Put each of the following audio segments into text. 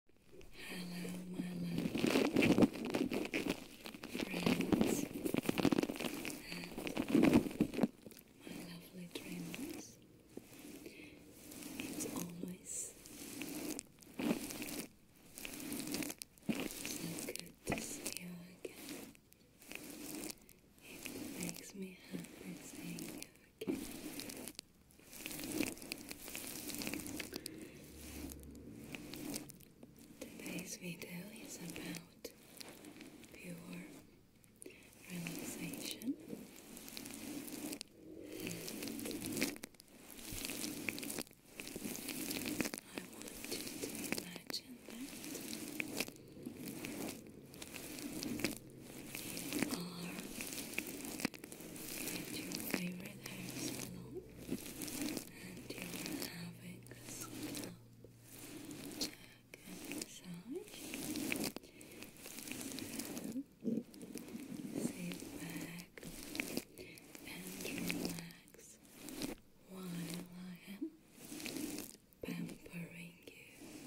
Hello, my lovely friends and my lovely dreamers. It's always so good to see you again. It makes me happy seeing you Today's video is about pure relaxation. I want to imagine that you are Get your favorite hairstyle and your having scalp and massage. sit back and relax while I am pampering you.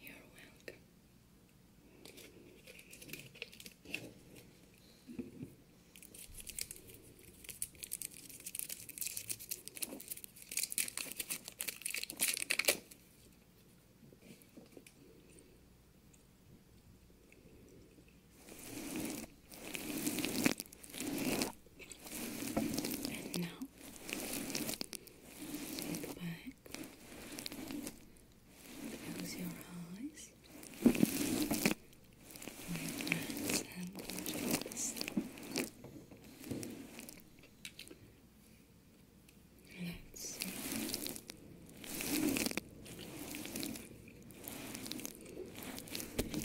You're welcome. And Sit back. Close your eyes. Relax and relax. Relax.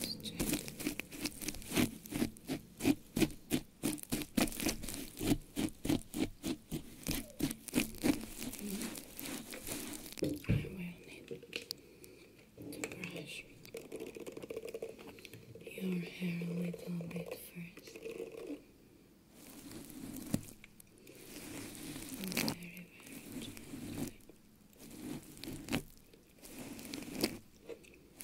Just check need to brush your hair a little bit first. Very, very gently very gentle movements. And then you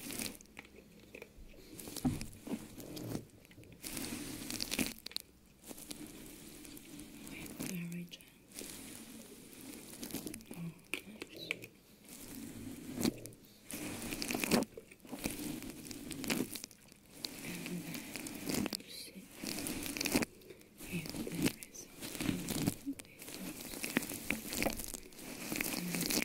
see if there is something different. And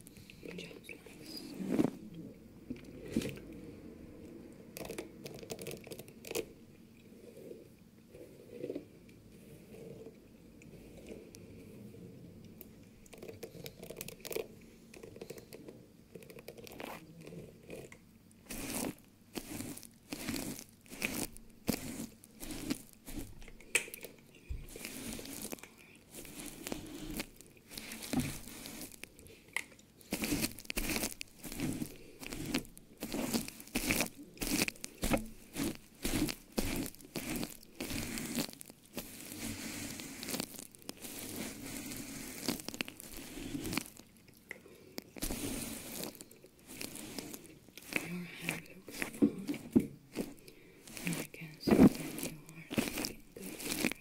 which I like so. Orange your head looks fine. I guess that you are looking good.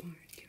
All right. Let's part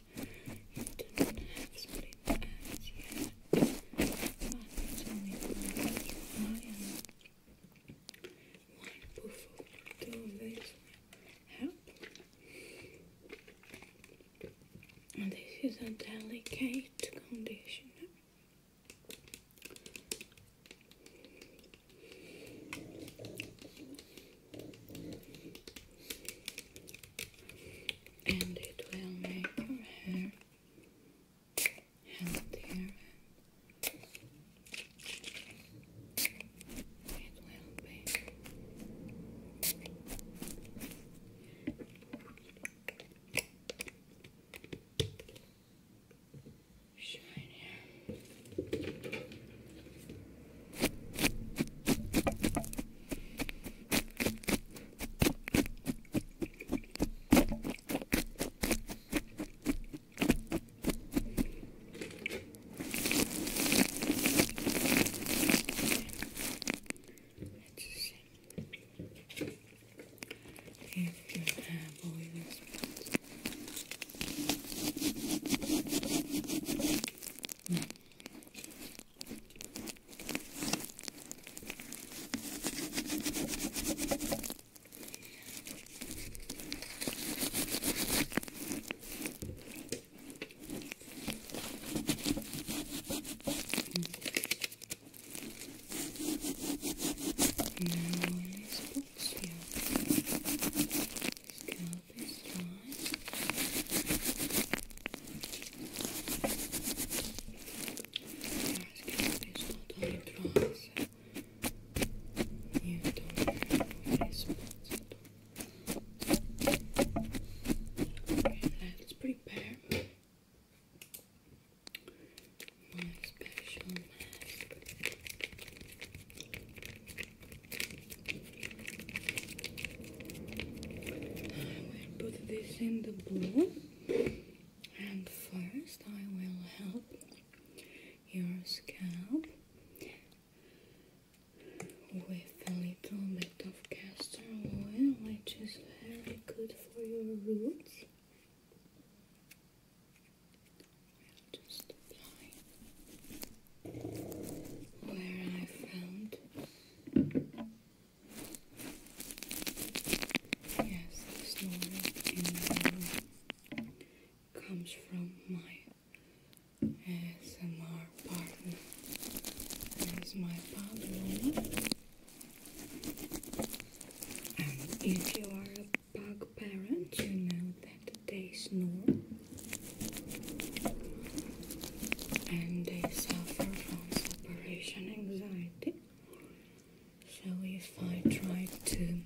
I don't have split ends yet. One is only one eye and one poof of this help. this is a delicate conditioner and it will make your hair healthier. It will be. Shinier. Let's see if you have all your spots. No. Now on these books here, this one. Let's get you don't really spot Okay, let's prepare my special mask. I will put this in the bowl and first I will help your scalp with a little bit of castor oil which is very good for your roots. just apply where I found yes this noise comes from my S M R partner. That is my partner. And if you are a bug parent, you know that they snore and they suffer from separation anxiety. So if I try to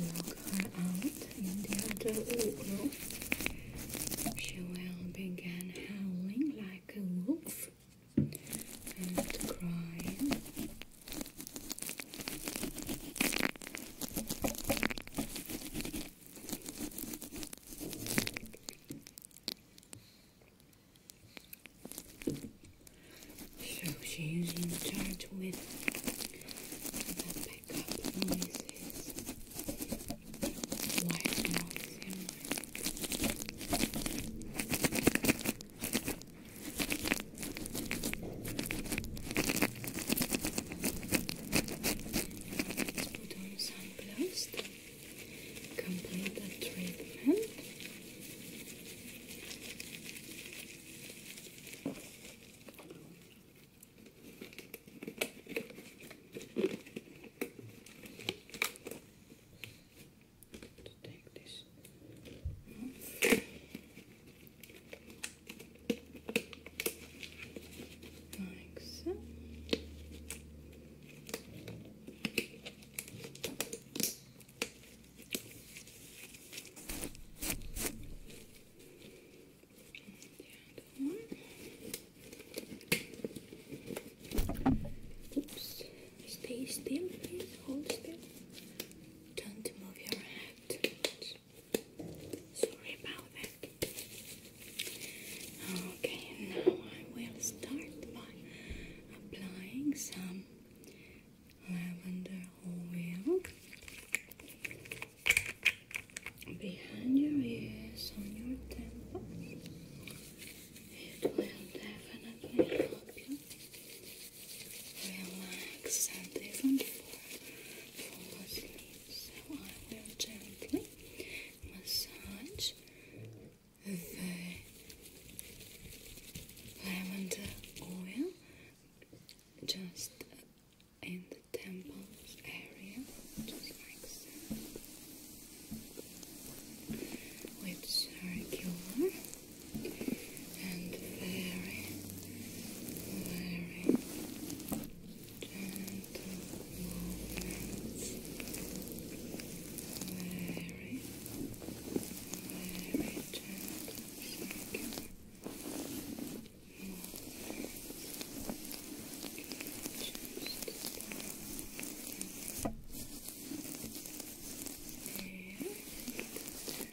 lock her out in the other room, she will begin howling like a wolf and crying. So she's in charge with the pickup noises. Why not Let's put on some sunblast. Complete the treatment. take this like so. Oops. Stay still, please. Hold still. Don't move your head. Sorry about that. Okay, now I will start by applying some lavender oil behind your ears on your temples. It will definitely help you relax and even fall asleep. So I will gently massage the lavender oil just in the temples area, just like so, with circular and very very gentle movements, very, very gentle circular movements. Just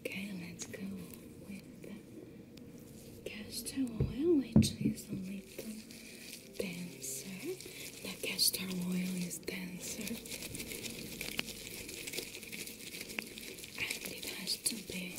Okay, let's go with the castor oil, which is a little denser. The castor oil is denser, and it has to be.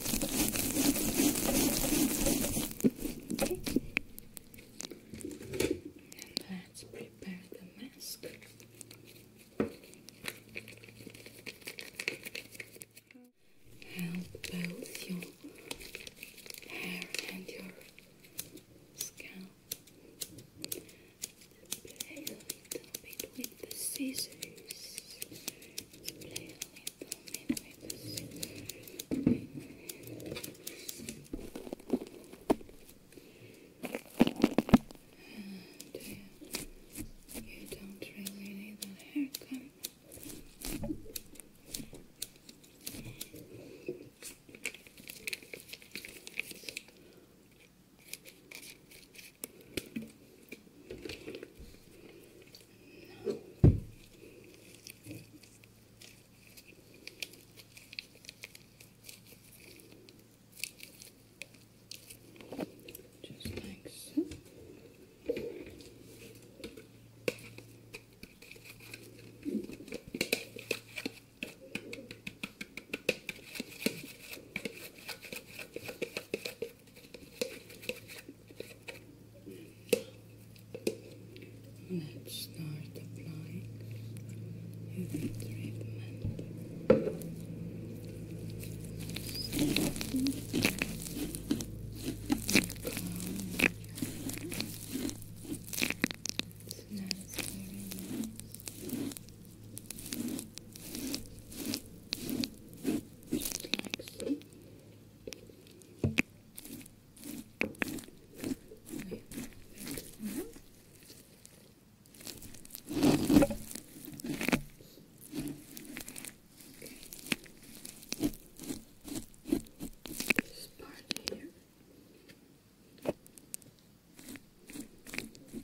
let's prepare the mask. Help both your hair and your scalp. between the scissors. And you uh, don't really need that haircut. No. Just like so. Let's start applying the treatment. Nice. Okay. Mm -hmm. okay. This part here. Okay.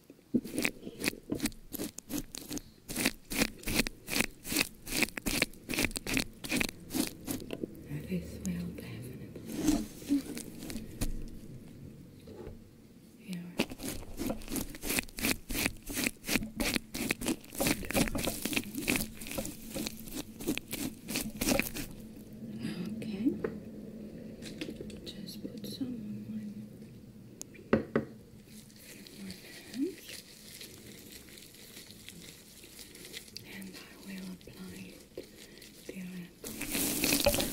Okay, swell definitely. Yeah. Right. Okay. Okay. Just put some on my, my And I will apply it directly.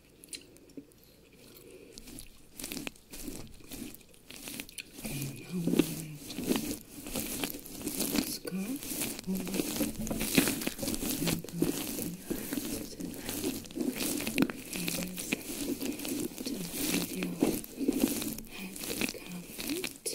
And now we have scarf over and uh, you have to and covered by this and you have to, to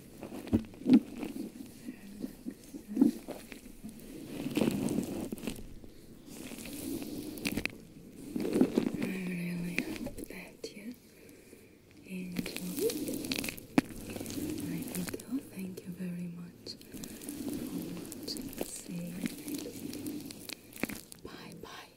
I really hope that you enjoyed Thank you very much for watching. See you bye, -bye.